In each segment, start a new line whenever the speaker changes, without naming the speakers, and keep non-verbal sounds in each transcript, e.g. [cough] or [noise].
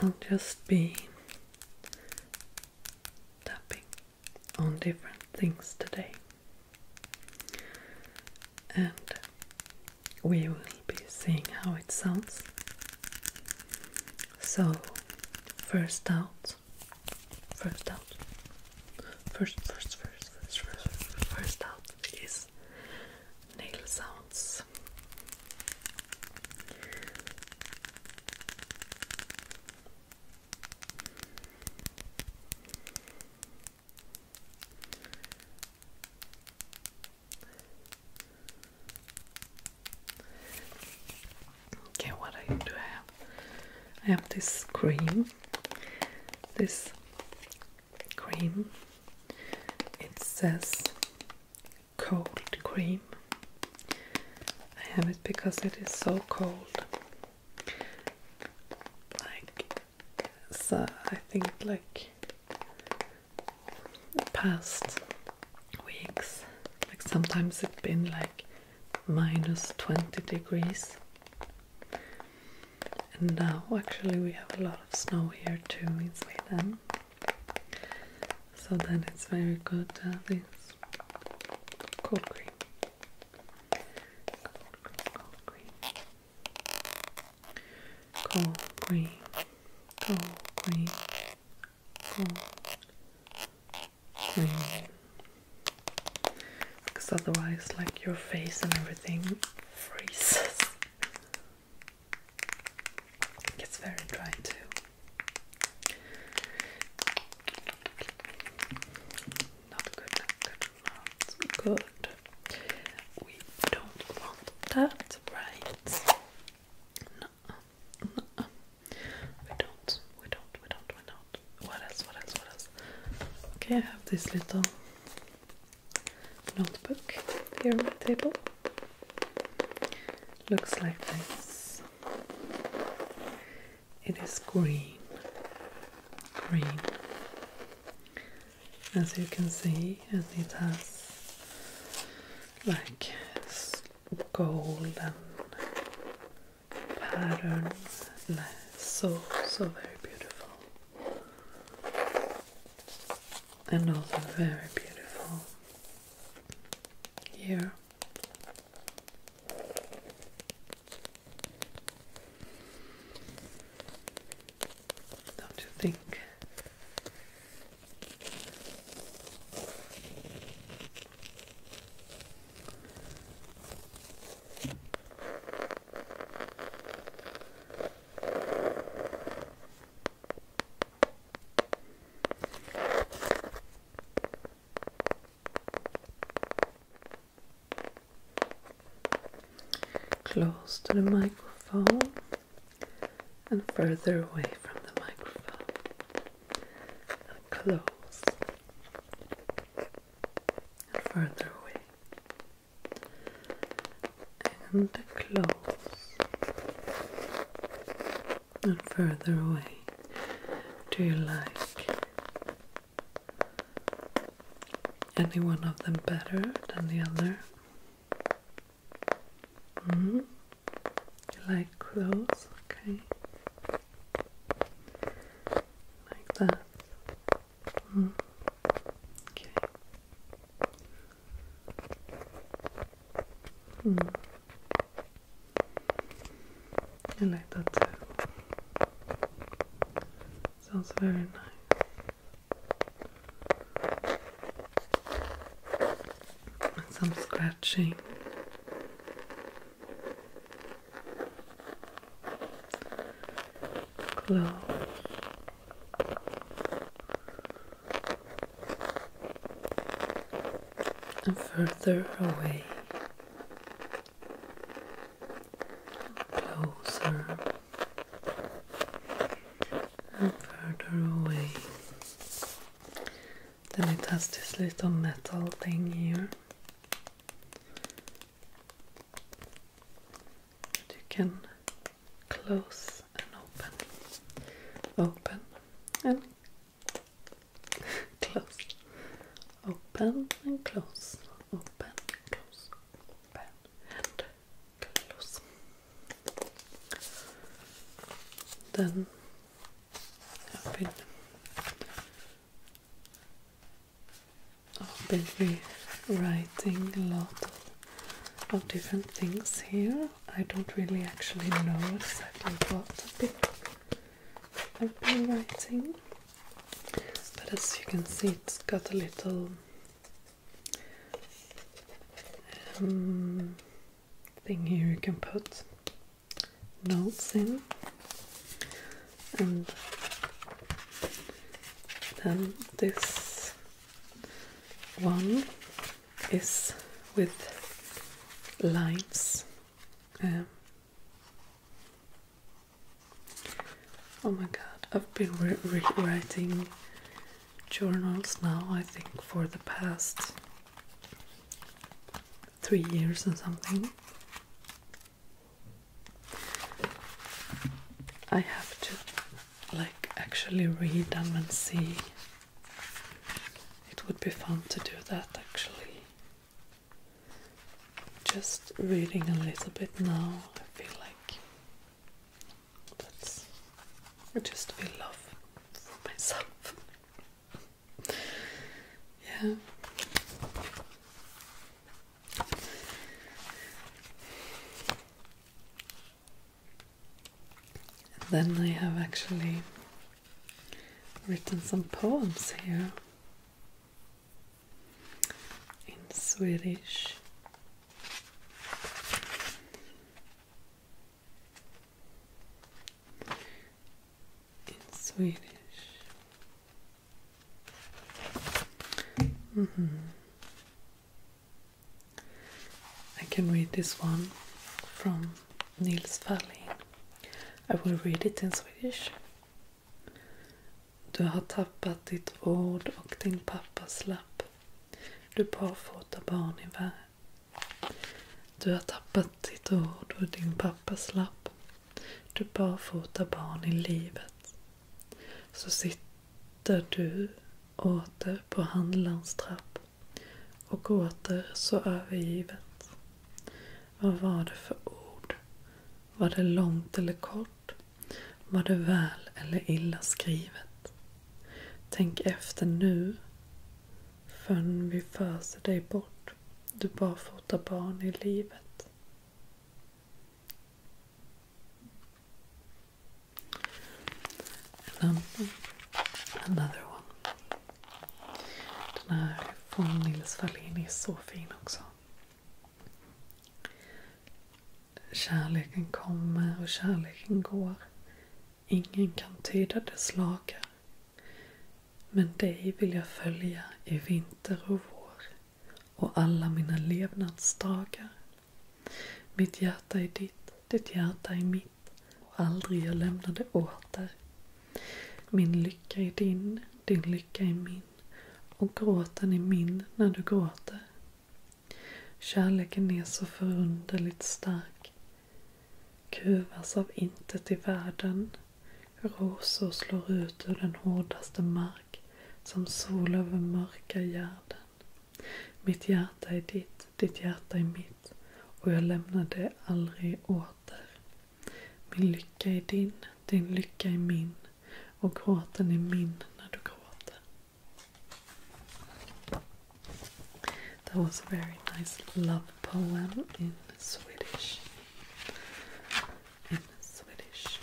I'll just be tapping on different things today, and we will be seeing how it sounds. So, first out, first out, first, first, first, first, first, first, first out is nail sounds. Okay, what I do I have? I have this cream. This cream. It says cold cream. I have it because it is so cold. Like, so uh, I think like past weeks, like sometimes it's been like minus 20 degrees. And now actually we have a lot of snow here too in Sweden so that it's very good this cold cream. Cold cream, cold cream, cold cream, cold cream. Because otherwise, like your face and everything freezes. It gets very dry too. Not good, not good, not good. We don't want that, right? No, no, we don't, we don't, we don't, we don't. What else, what else, what else? Okay, I have this little notebook here on the table. Looks like this. It is green, green. As you can see, and it has like golden patterns. So so very beautiful and also very beautiful here. Don't you think? Close to the microphone and further away from the microphone. And close and further away and close and further away do you like any one of them better than the other -hmm. you like close okay like that -hmm. okay Hmm. I like that too. Sounds very nice. And some scratching. Glow and further away, closer and further away. Then it has this little metal thing here you can close and open, open and [laughs] close, open and close, open, close, open and close. Then I've been, I've been rewriting a lot of different things here. I don't really actually know exactly what a bit I've been writing, but as you can see, it's got a little um, thing here you can put notes in, and then this one is with limes. Um, oh my god, I've been rewriting journals now, I think, for the past three years or something. I have to like actually read them and see. It would be fun to do that actually. Just reading a little bit now, I feel like that's I just feel love for myself. [laughs] yeah. And then I have actually written some poems here in Swedish. In Swedish. Mm -hmm. I can read this one from Nils Fälling. I will read it in Swedish. Du har tappat ditt ord och din pappas lapp. Du barfota barn i världen. Du har tappat ditt ord och din pappas lapp. Du barfota barn i livet. Så sitter där du åter på handlarns trapp och åter så övergivet. Vad var det för ord? Var det långt eller kort? Var det väl eller illa skrivet? Tänk efter nu förrän vi föser dig bort, du barfota barn i livet. And then another one. Den här från Nils Wallin är så fin också. Kärleken kommer och kärleken går. Ingen kan tyda dess lagar. Men dig vill jag följa i vinter och vår och alla mina levnadsdagar. Mitt hjärta är ditt, ditt hjärta är mitt och aldrig jag lämnar det åter. Min lycka är din, din lycka är min och gråten är min när du gråter. Kärleken är så förunderligt stark. Kuvas av intet i världen. Rosor slår ut ur den hårdaste mark som sol över mörka hjärden. Mitt hjärta är ditt, ditt hjärta är mitt och jag lämnar det aldrig åter. Min lycka är din, din lycka är min och gråten är min när du gråter. That was a very nice love poem in Swedish. In Swedish.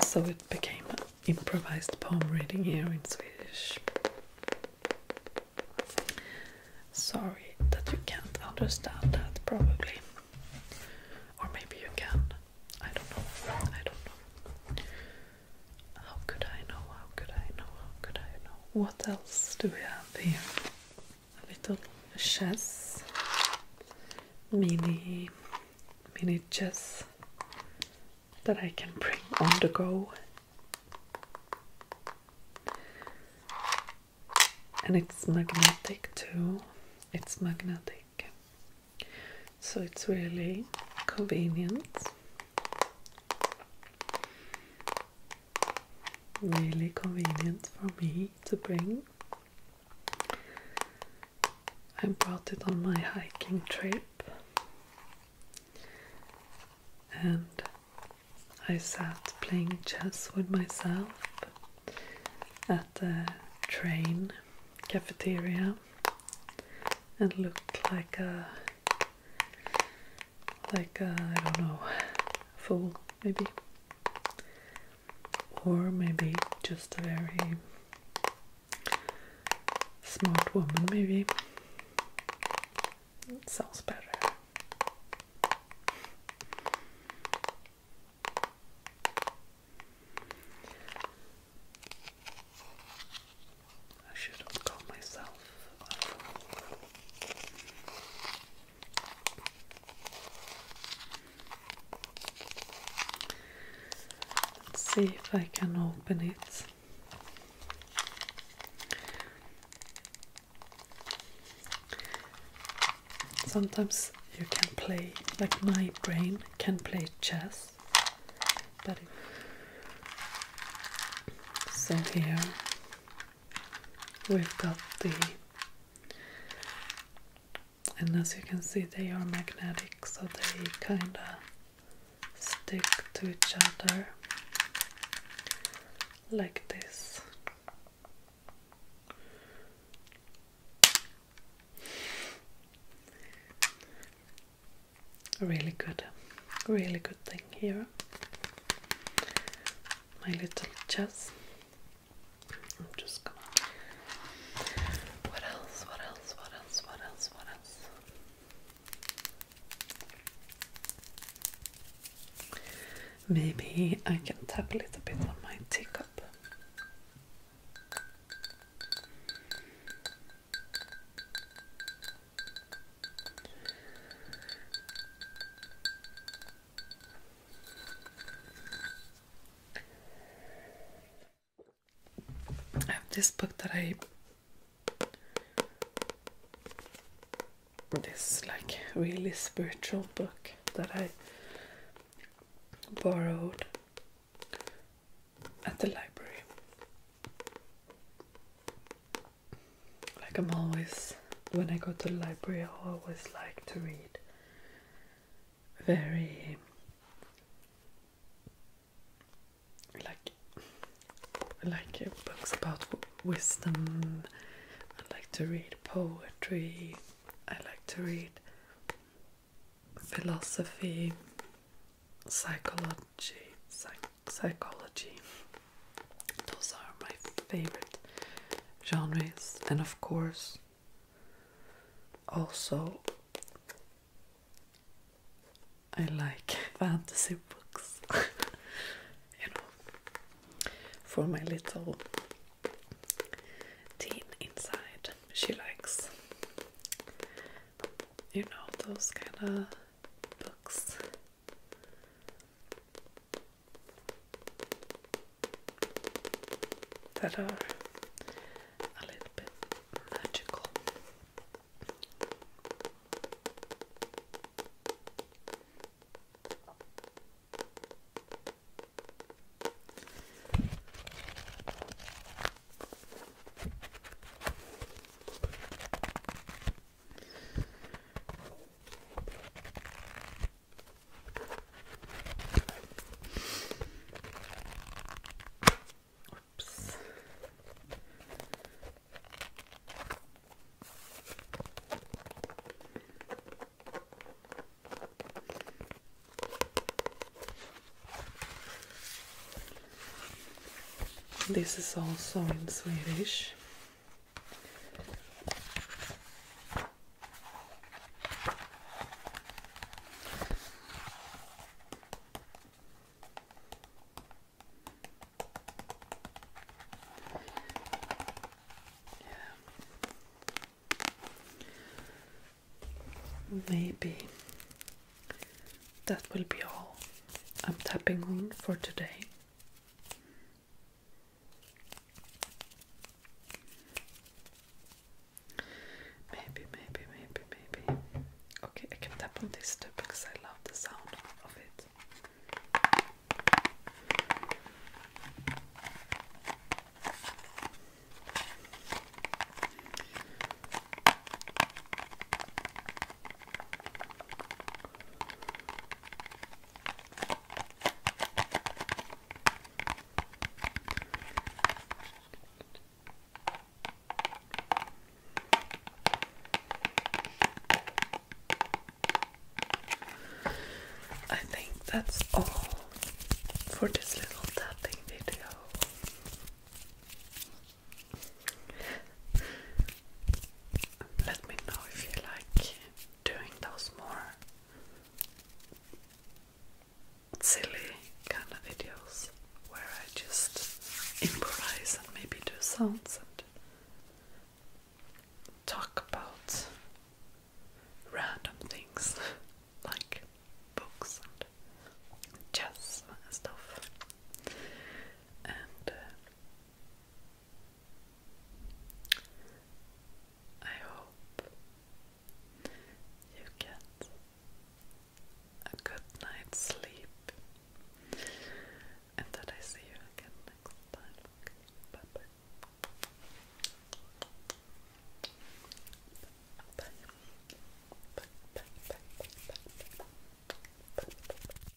So it became an improvised poem reading here in Swedish. Sorry that you can't understand that, probably. Or maybe you can. I don't know. I don't know. How could I know? How could I know? How could I know? What else do we have here? A little chess, mini miniatures that I can bring on the go. And it's magnetic too. It's magnetic. So it's really convenient really convenient for me to bring. I brought it on my hiking trip and I sat playing chess with myself at the train cafeteria and looked like a like a, I don't know full, maybe, or maybe just a very smart woman, maybe. It sounds better. I should call myself Let's see if I can open it. Sometimes you can play, like my brain can play chess, but so here we've got the and as you can see, they are magnetic, so they kinda stick to each other like this. Really good, really good thing here my little chest. I'm just gonna. What else? What else? What else? What else? What else? Maybe I can tap a little bit on my teacup. I have this book that I this like really spiritual book that I borrowed at the library like I'm always when I go to the library, I always like to read very like like uh, books about wisdom. I like to read poetry. I like to read philosophy, psychology, psych psychology. Those are my favorite genres, and of course, also I like [laughs] fantasy books, [laughs] you know, for my little teen inside. She likes, you know, those kind of books that are a little bit magical. This is also in Swedish. Maybe that will be all I'm tapping on for today. Maybe, maybe, maybe, maybe. Okay, I can tap on this too because I love the sound of it. I think that's all for this little tapping video. Let me know if you like doing those more silly kind of videos where I just improvise and maybe do sounds and talk about random things [laughs] like books and jazz and stuff. And uh, I hope you get a good night's sleep and that I see you again next time. Bye. Bye, bye, bye, bye, bye, bye, bye.